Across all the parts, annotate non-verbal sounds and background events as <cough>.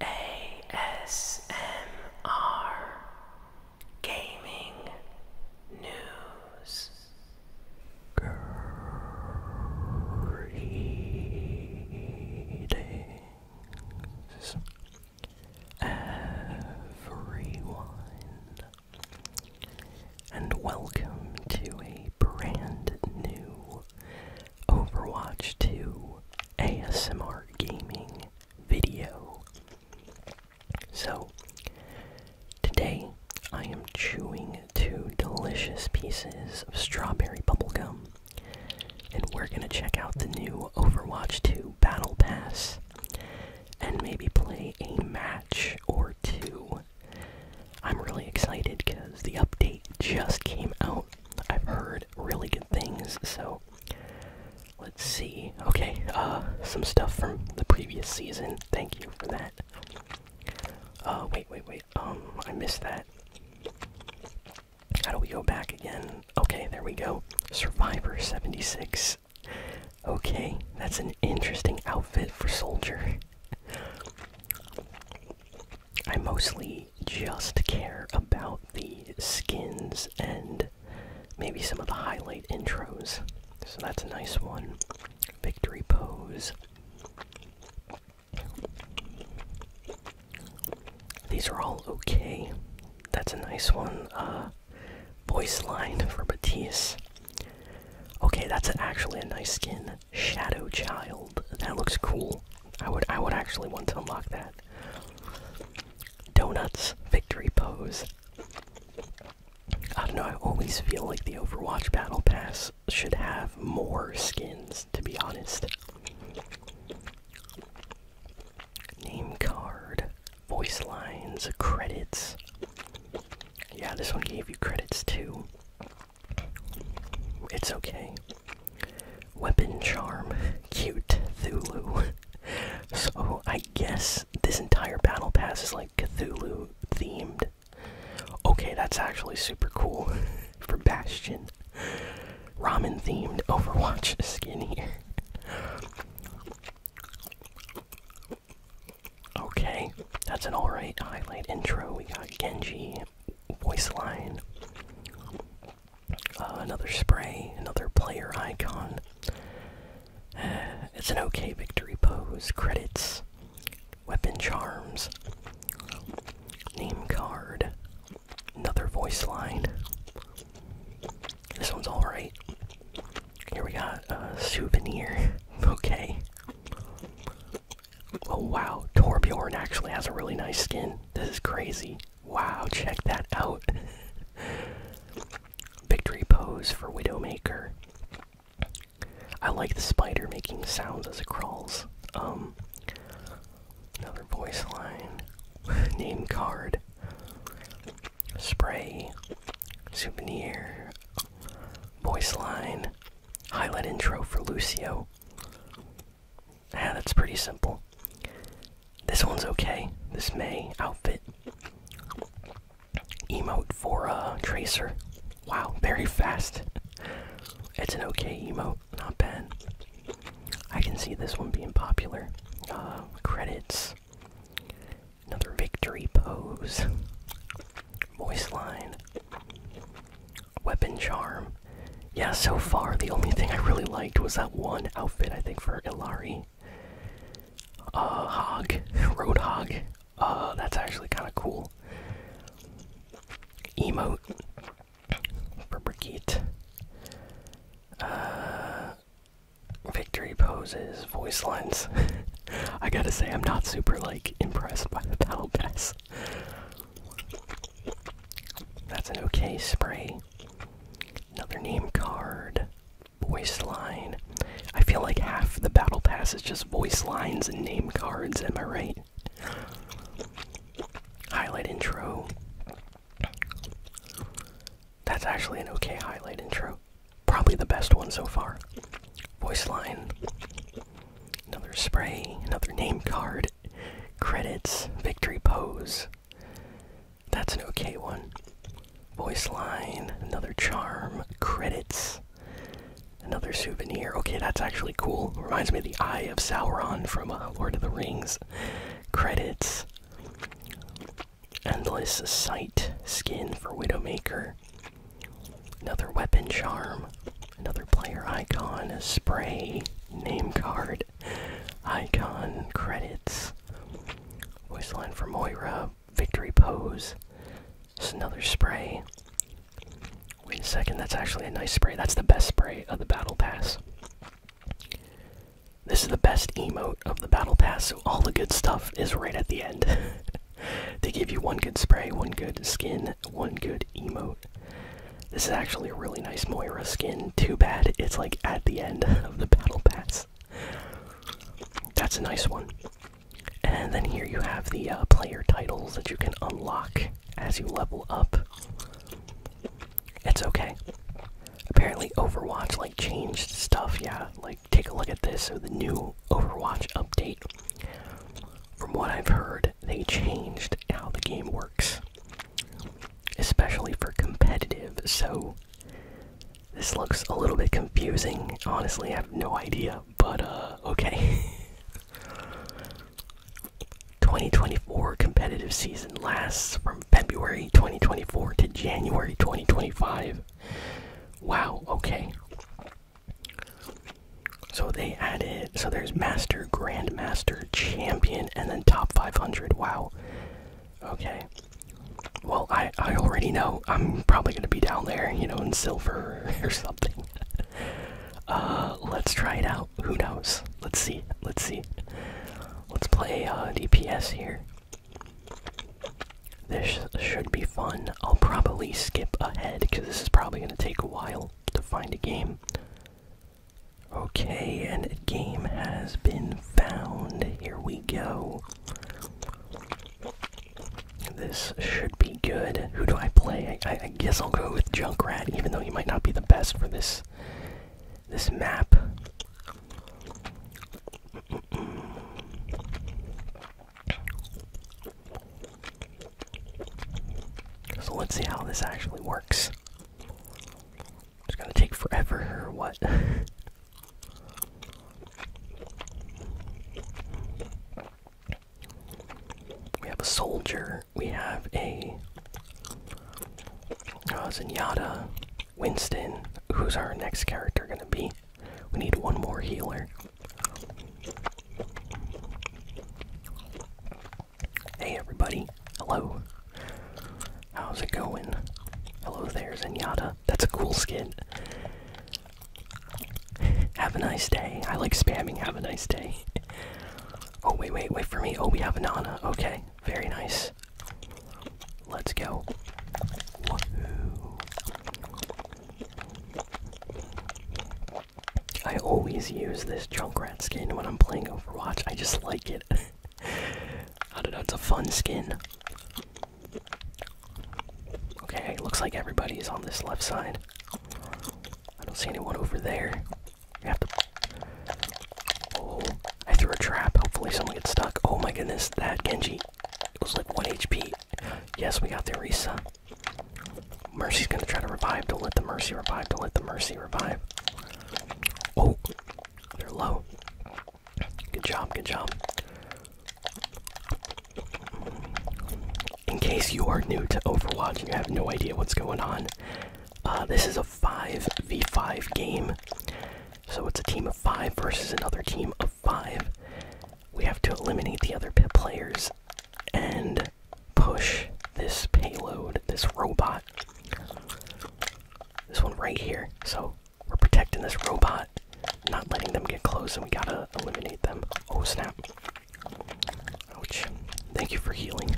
ASMR Gaming News Greetings everyone and welcome to a brand new Overwatch 2 ASMR gaming video. So, today I am chewing two delicious pieces of strawberry bubblegum, and we're gonna check out the new Overwatch 2 Battle Pass and maybe play a match or two. I'm really excited because the update just came out I've heard really good things, so let's see. Okay, uh, some stuff from the previous season. Thank you for that. Oh wait, wait, wait. Um, I missed that. How do we go back again? Okay, there we go. Survivor 76. Okay, that's an interesting outfit for Soldier. I mostly just care about the skins and maybe some of the highlight intros. So that's a nice one. Victory pose. These are all okay. That's a nice one. Uh, voice line for Batiste. Okay, that's actually a nice skin. Shadow Child. That looks cool. I would I would actually want to unlock that. Donuts Victory Pose. I don't know, I always feel like the Overwatch Battle Pass should have more skins, to be honest. Name card, voice lines, credits. Yeah, this one gave you credits too. It's okay. Weapon charm, cute Thulu. <laughs> so I guess this entire battle pass is like Cthulhu themed. Okay, that's actually super cool <laughs> for Bastion. Ramen themed Overwatch skin here. <laughs> Okay, that's an alright highlight intro. We got Genji, voice line, uh, another spray, another player icon. Uh, it's an okay victory pose, credits, weapon charms, name card, another voice line. This one's alright. Here we got a souvenir. <laughs> Okay. Oh wow, Torbjorn actually has a really nice skin. This is crazy. Wow, check that out. <laughs> Victory pose for Widowmaker. I like the spider making sounds as it crawls. Um, another voice line. <laughs> Name card. Spray. Souvenir. Voice line. Highlight intro for Lucio. Yeah, that's pretty simple. This one's okay. This May outfit. Emote for uh, Tracer. Wow, very fast. It's an okay emote, not bad. I can see this one being popular. Uh, credits. Another victory pose. Voice line. Weapon charm. Yeah, so far the only thing I really liked was that one outfit I think for Ilari. Uh, Hog, Road Hog. Uh, that's actually kind of cool. Emote for Brigitte. Uh, victory poses, voice lines. <laughs> I gotta say, I'm not super like impressed by the battle pass. That's an okay spray. Another name card. Voice line. I feel like half the battle pass is just voice lines and name cards, am I right? Highlight intro. That's actually an okay highlight intro. Probably the best one so far. Voice line. Another spray, another name card, credits, victory pose. That's an okay one. Voice line, another charm, credits, another souvenir. Okay, that's actually cool. Reminds me of the Eye of Sauron from uh, Lord of the Rings. Credits, endless sight, skin for Widowmaker, another weapon charm, another player icon, a spray name card, icon, credits, voice line for Moira, victory pose. It's another spray. Wait a second, that's actually a nice spray. That's the best spray of the battle pass. This is the best emote of the battle pass, so all the good stuff is right at the end. <laughs> they give you one good spray, one good skin, one good emote. This is actually a really nice Moira skin. Too bad it's like at the end <laughs> of the battle pass. That's a nice one. And then here you have the uh, player titles that you can unlock as you level up. It's okay. Apparently Overwatch like changed stuff, yeah. Like take a look at this. So the new Overwatch update. From what I've heard, they changed how the game works especially for competitive. So this looks a little bit confusing. Honestly, I have no idea, but uh, okay. <laughs> 2024 competitive season lasts from February 2024 to January 2025. Wow, okay. So they added, so there's Master, Grandmaster, Champion, and then Top 500. Wow. Okay. Well, I, I already know I'm probably going to be down there, you know, in silver <laughs> or something. <laughs> uh, let's try it out. Who knows? Let's see. Let's see. Let's play uh, DPS here. This should be fun. I'll probably skip ahead because this is probably going to take a while to find a game. Okay, and a game has been found. Here we go. This should be good. Who do I play? I, guess I'll go with Junkrat, even though he might not be the best for this this map. So let's see how this actually works. It's gonna take forever or what? <laughs> we have a soldier, we have a uh, Zenyatta, Winston. Who's our next character gonna be? We need one more healer. Hey everybody, hello. How's it going? Hello there, Zenyatta. That's a cool skin. have a nice day. I like spamming, have a nice day. oh, wait, wait, wait for me. Oh, we have a Nana. Okay, very nice. Let's go. I always use this rat skin when I'm playing Overwatch. I just like it. <laughs> I don't know, it's a fun skin. Okay, looks like everybody's on this left side. I don't see anyone over there. You Oh, I threw a trap. Hopefully, someone gets stuck. Oh my goodness, that Genji. It was like 1 HP. Yes, we got the Risa. Mercy's gonna try to revive. Don't let the mercy revive. Don't let the mercy revive. Oh, they're low. Good job, good job. In case you are new to Overwatch and you have no idea what's going on, uh, this is a 5v5 game. So it's a team of 5 versus another team of 5. We have to eliminate the other players and push this payload, this robot. This one right here. So we're protecting this robot, not letting them get close, and we gotta eliminate them. Oh snap. Ouch. Thank you for healing.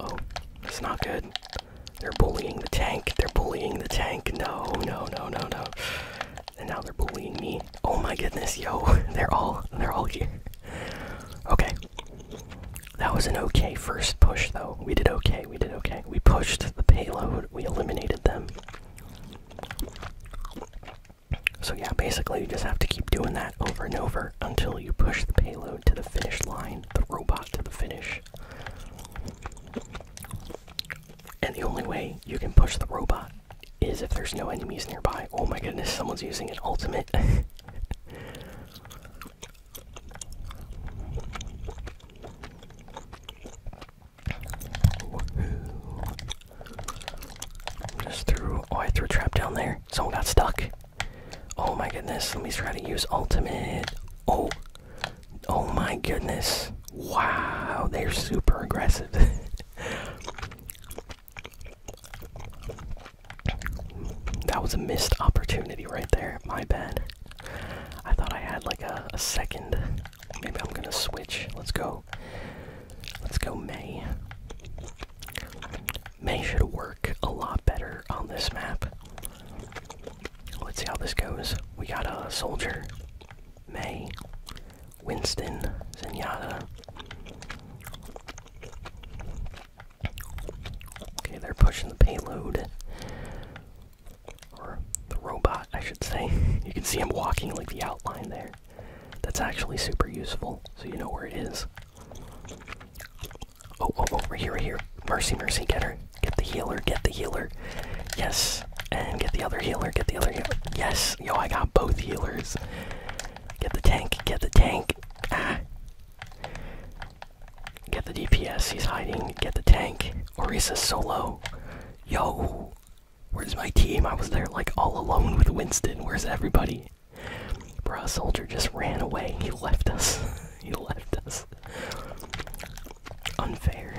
oh. It's not good. They're bullying the tank. They're bullying the tank. No, no, no, no, no. And now they're bullying me. Oh my goodness, yo. <laughs> They're all they're all here. Okay. That was an okay first push, though. We did okay, we did okay. We pushed the payload, we eliminated them. So, yeah, basically, you just have to keep doing that over and over until you push the payload to the finish line, the robot to the finish. And the only way you can push the robot is if there's no enemies nearby. Oh my goodness, someone's using an ultimate. <laughs> Just threw. Oh, I threw trap down there. Someone got stuck. Oh my goodness. Let me try to use ultimate. Oh. Oh my goodness. Wow. They're super aggressive. <laughs> That was a missed opportunity right there. My bad. I thought I had like a, a second. Maybe I'm gonna switch. Let's go. Let's go, May. May should work a lot better on this map. Let's see how this goes. We got a soldier. May. Winston Zenyatta. Okay, they're pushing the payload. Or the robot, I should say. <laughs> you can see him walking like the outline there. That's actually super useful, so you know where it is. Oh, oh, oh, here, we here. Mercy, mercy, get her. Get the healer, get the healer. Yes. And get the other healer, get the other healer. Yes. Yo, I got both healers. Get the tank, get the tank. Ah. Get the DPS, he's hiding. Get the tank. Orisa solo. Yo, where's my team? I was there like all alone with Winston. Where's everybody? Bruh, soldier just ran away. He left us. <laughs> he left us. Unfair.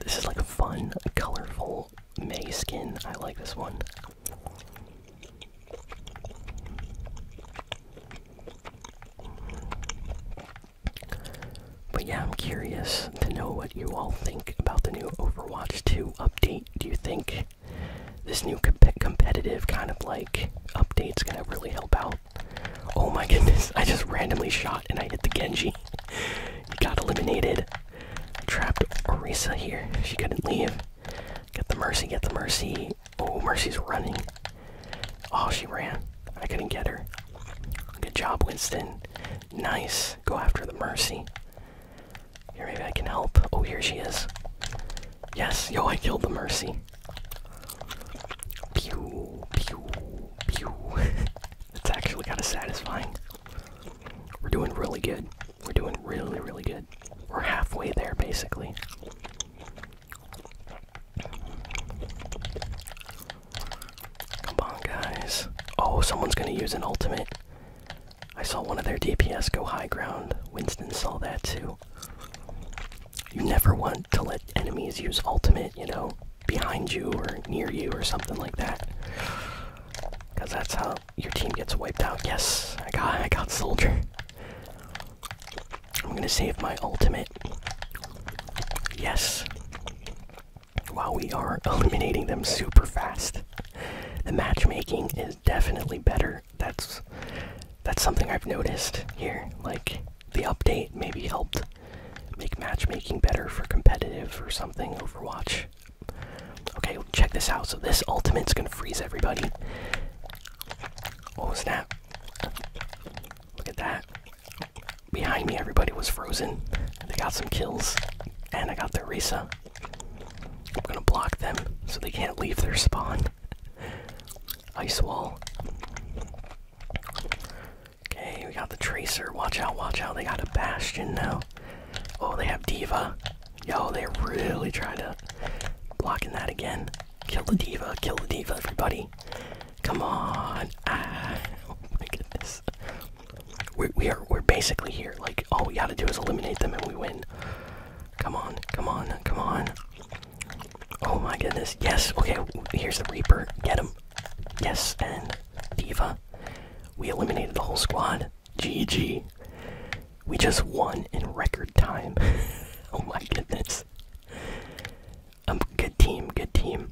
This is like a fun, colorful May skin. I like this one. But yeah, I'm curious to know what you all think about the new Overwatch 2 update. Do you think this new competitive kind of like update's gonna really help out? Oh my goodness, I just randomly shot and I hit the Genji. He got eliminated. trapped Orisa here. She couldn't leave. Get the mercy, get the mercy. Oh, Mercy's running. Oh, she ran. I couldn't get her. Good job, Winston. Nice. Go after the mercy. Here, maybe I can help. Oh, here she is. Yes, yo, I killed the mercy. Pew, pew, pew. <laughs> It's actually kind of satisfying. We're doing really good. We're doing really, really good. We're halfway there, basically. Come on, guys. Oh, someone's gonna use an ultimate. I saw one of their DPS go high ground. Winston saw that too. You never want to let enemies use ultimate you know, behind you or near you or something like that. Because that's how your team gets wiped out. Yes, I got, I got soldier. I'm gonna save my ultimate. Yes. While we are <laughs> eliminating them super fast, the matchmaking is definitely better. That's that's something I've noticed here. Like the update maybe helped make matchmaking better for competitive or something, Overwatch. Okay, check this out. So this ultimate's gonna freeze everybody. Oh snap. Look at that. Behind me everybody was frozen. They got some kills. And I got their Risa. I'm gonna block them so they can't leave their spawn. Ice wall. Okay, we got the Tracer. Watch out, watch out. They got a Bastion now. Oh, they have Diva. Yo, they're really trying to blocking that again. Kill the Diva, kill the Diva, everybody. Come on. Ah, <laughs> oh my goodness. We're, we we're basically here. Like, all we gotta do is eliminate them and we win. Come on, come on, come on. Oh my goodness. Yes, okay, here's the Reaper. Get him. Yes, and Diva. We eliminated the whole squad. GG. We just won in record time. <laughs> oh my goodness. i Um, good team, good team.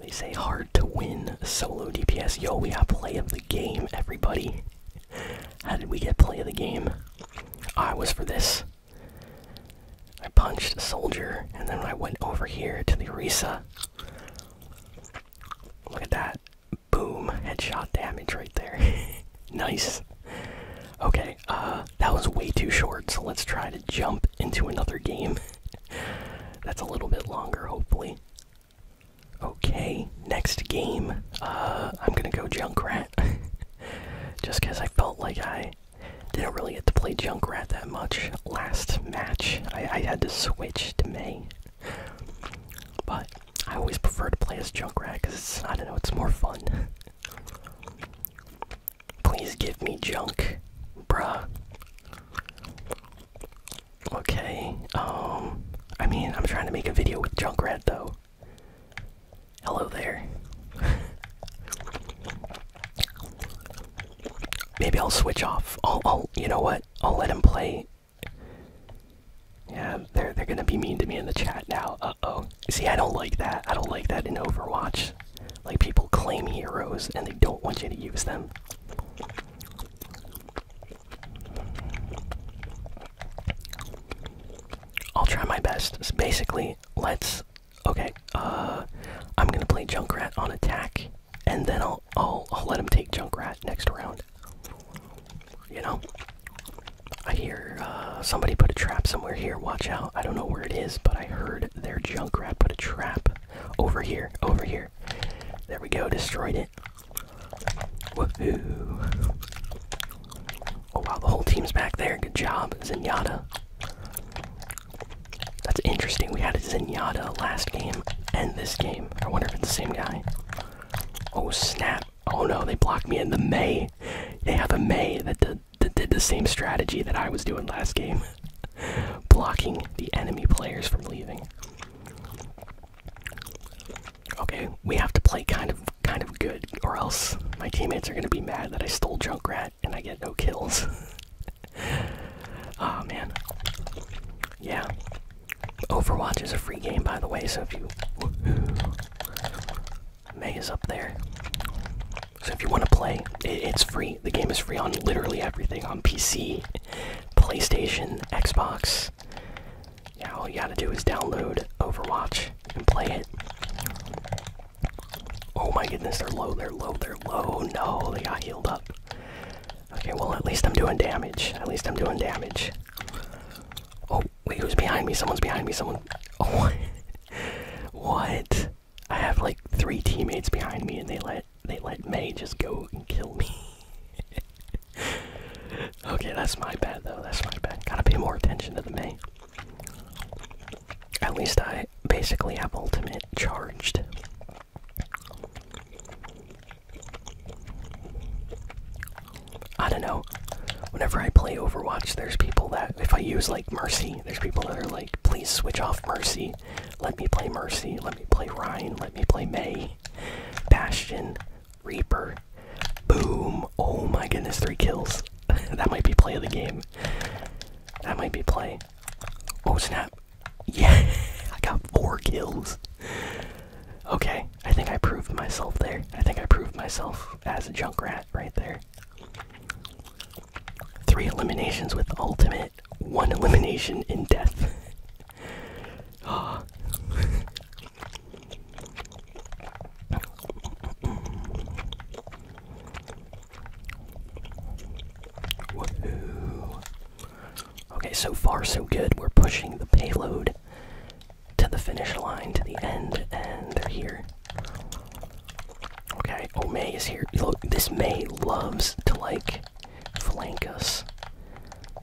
They say hard to win solo DPS. Yo, we got play of the game, everybody. How did we get play of the game? I was for this. I punched a soldier, and then I went over here to the Risa. Look at that. Boom. Headshot damage right there. <laughs> nice. Okay, uh, that was way too short, so let's try to jump into another game. <laughs> That's a little bit longer, hopefully. Okay, next game. Uh, I'm gonna go Junkrat. <laughs> Just because I felt like I didn't really get to play Junkrat that much last match. I, had to switch to May. But I always prefer to play as Junkrat because I don't know, it's more fun. Please give me junk, bruh. Okay, um, I mean, I'm trying to make a video with Junkrat though. Hello there. <laughs> Maybe I'll switch off. I'll, I'll, you know what? I'll let him play. Yeah, they're they're gonna be mean to me in the chat now. Uh oh. See, I don't like that. I don't like that in Overwatch. Like people claim heroes and they don't want you to use them. I'll try my best. basically, let's Okay, uh, I'm gonna play Junkrat on attack, and then I'll I'll I'll let him take Junkrat next round. You know, I hear uh, somebody put a trap somewhere here. Watch out! I don't know where it is, but I heard their Junkrat put a trap over here, over here. There we go, destroyed it. Woohoo! Oh wow, the whole team's back there. Good job, Zenyatta. That's interesting. We had a Zinada last game and this game. I wonder if it's the same guy. Oh snap. Oh no, they blocked me in the May. They have a May that did, that did the same strategy that I was doing last game. <laughs> Blocking the enemy players from leaving. Okay, we have to play kind of kind of good, or else my teammates are gonna be mad that I stole Junkrat and I get no kills. oh <laughs> man. Yeah. Overwatch is a free game by the way, so if you <sighs> May is up there. So if you want to play, it's free. The game is free on literally everything on PC, PlayStation, Xbox. Yeah, all you gotta do is download Overwatch and play it. Oh my goodness, they're low, they're low, they're low. No, they got healed up. Okay, well, at least I'm doing damage. At least I'm doing damage. Oh, wait, who's behind me? Someone's behind me. Someone. <laughs> Oh, what? I have like three teammates behind me, and they let they let May just go and kill me. <laughs> okay, that's my bad though. That's my bad. Gotta pay more attention to the May. At least I basically have ultimate charged. I don't know. Whenever I play Overwatch, there's people that, if I use like Mercy, there's people that are like, please switch off Mercy. Let me play Mercy. Let me play Ryan. Let me play May. Bastion. Reaper. Boom. Oh my goodness, three kills. <laughs> that might be play of the game. That might be play. Oh snap. Yeah, <laughs> I got four kills. Okay, I think I proved myself there. I think I proved myself as a junk rat right there. Three eliminations with ultimate, one elimination in death. oh. <gasps> <laughs> Okay, so far so good. We're pushing the payload to the finish line, to the end, and they're here. Okay, oh May is here. Look, this May loves to like flank us,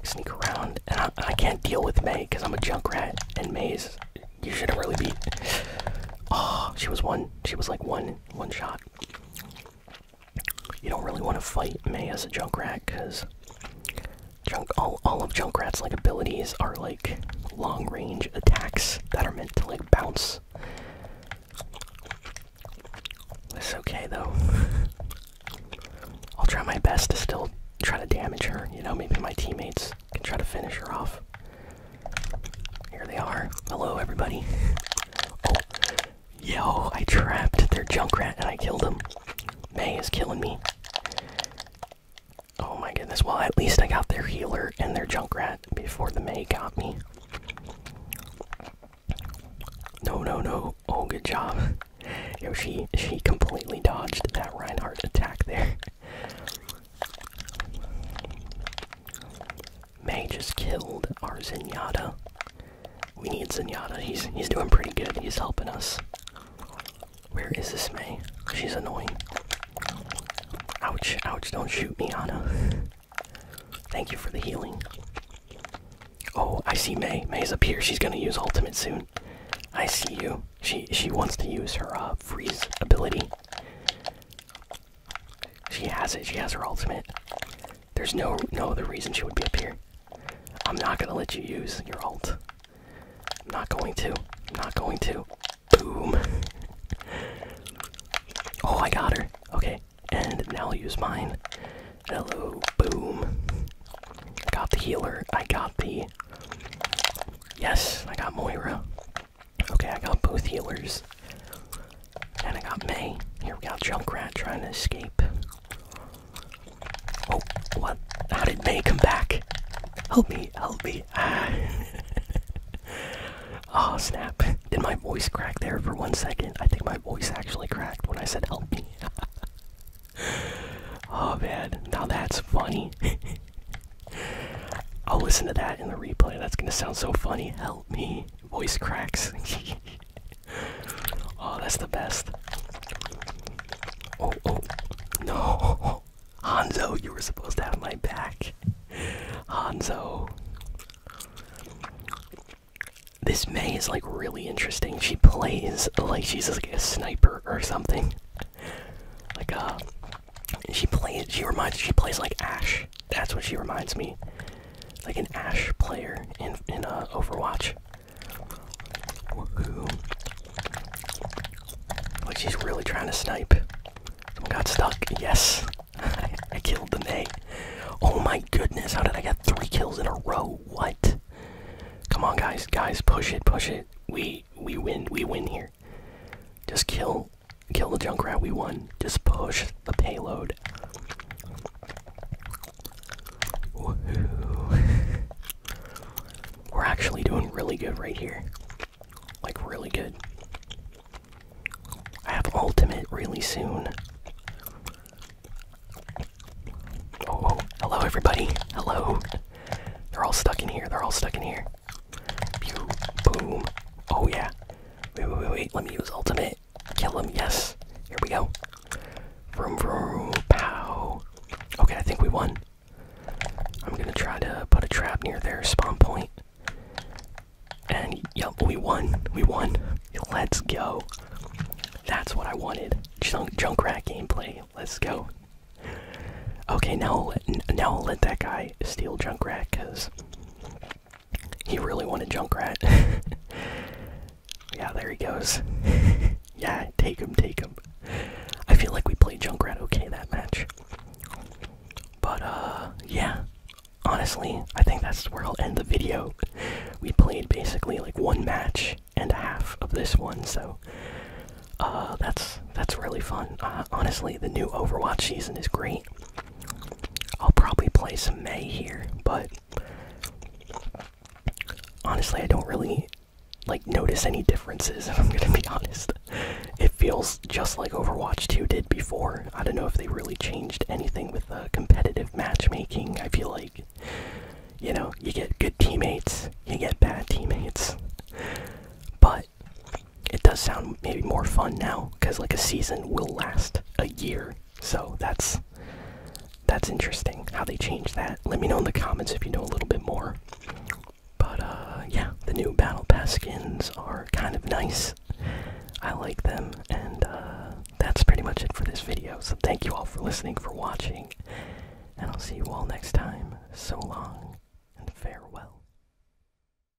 sneak around, and I, I can't deal with May because I'm a junk rat, and May's you shouldn't really be. Oh, she was one. She was like one, one shot. You don't really want to fight May as a Junkrat because junk all all of Junkrat's like abilities are like long range attacks that are meant to like bounce. It's okay though. I'll try my best to still try to damage her. You know, maybe my teammates can try to finish her off. Here they are. Hello, everybody. Oh, yo, I trapped their junk rat and I killed them. May is killing me. Oh my goodness. Well, at least I got their healer and their junk rat before the May got me. No, no, no. Oh, good job. Yo, she, she completely dodged that Reinhardt attack there. May just killed our Zenyatta. We need Zenyatta. He's he's doing pretty good. He's helping us. Where is this May? She's annoying. Ouch, ouch, don't shoot me, Anna. Thank you for the healing. Oh, I see May. May's up here. She's gonna use ultimate soon. I see you. She she wants to use her uh, freeze ability. She has it. She has her ultimate. There's no no other reason she would be up here. I'm not gonna let you use your ult. I'm not going to. not going to. Boom. <laughs> oh, I got her. Okay, and now I'll use mine. Hello. Boom. got the healer. I got the. Yes, I got Moira. Okay, I got both healers. And I got May. Here we got Junkrat trying to escape. Oh, what? How did May come back? Help me, help me. Ah. <laughs> oh, snap. Did my voice crack there for one second? I think my voice actually cracked when I said help me. <laughs> oh, bad. Now that's funny. <laughs> I'll listen to that in the replay. That's gonna sound so funny me. Voice cracks. <laughs> oh, that's the best. Oh, oh, no. <laughs> Hanzo, you were supposed to have my back. Hanzo. This May is like really interesting. She plays like she's like a sniper or something. Like a uh, she plays. She reminds. She plays like Ash. That's what she reminds me. Like an Ash player in in uh, Overwatch. Like she's really trying to snipe. Someone got stuck. Yes, <laughs> I, killed the May. Oh my goodness! How did I get three kills in a row? What? Come on, guys, guys, push it, push it. We we win. We win here. Just kill kill the junk rat we won just push the payload we're actually doing really good right here like really good i have ultimate really soon oh, oh. hello everybody hello they're all stuck in here they're all stuck in here boom. Oh yeah. Wait, wait, wait, Let me use ultimate. Kill him. Yes. Here we go. pow. Okay, I think we won. I'm gonna try to put a trap near their spawn point. And yep, we won. We won. Let's go. That's what I wanted. Junk, junk rat gameplay. Let's go. Okay, now now I'll let that guy steal junk rat because he really wanted Junkrat. <laughs> yeah, there he goes. <laughs> yeah, take him, take him. I feel like we played Junkrat okay that match. But, uh, yeah. Honestly, I think that's where I'll end the video. We played basically like one match and a half of this one, so uh, that's that's really fun. Uh, honestly, the new Overwatch season is great. I'll probably play some May here, but honestly, I don't really like notice any differences. <laughs> If I'm gonna be honest, it feels just like Overwatch 2 did before. I don't know if they really changed anything with the competitive matchmaking. I feel like you know you get good teammates, you get bad teammates, but it does sound maybe more fun now because like a season will last a year so that's that's interesting how they changed that let me know in the comments if you know a little bit more but uh yeah the new battle pass skins are kind of nice i like them and uh that's pretty much it for this video so thank you all for listening for watching and i'll see you all next time so long and farewell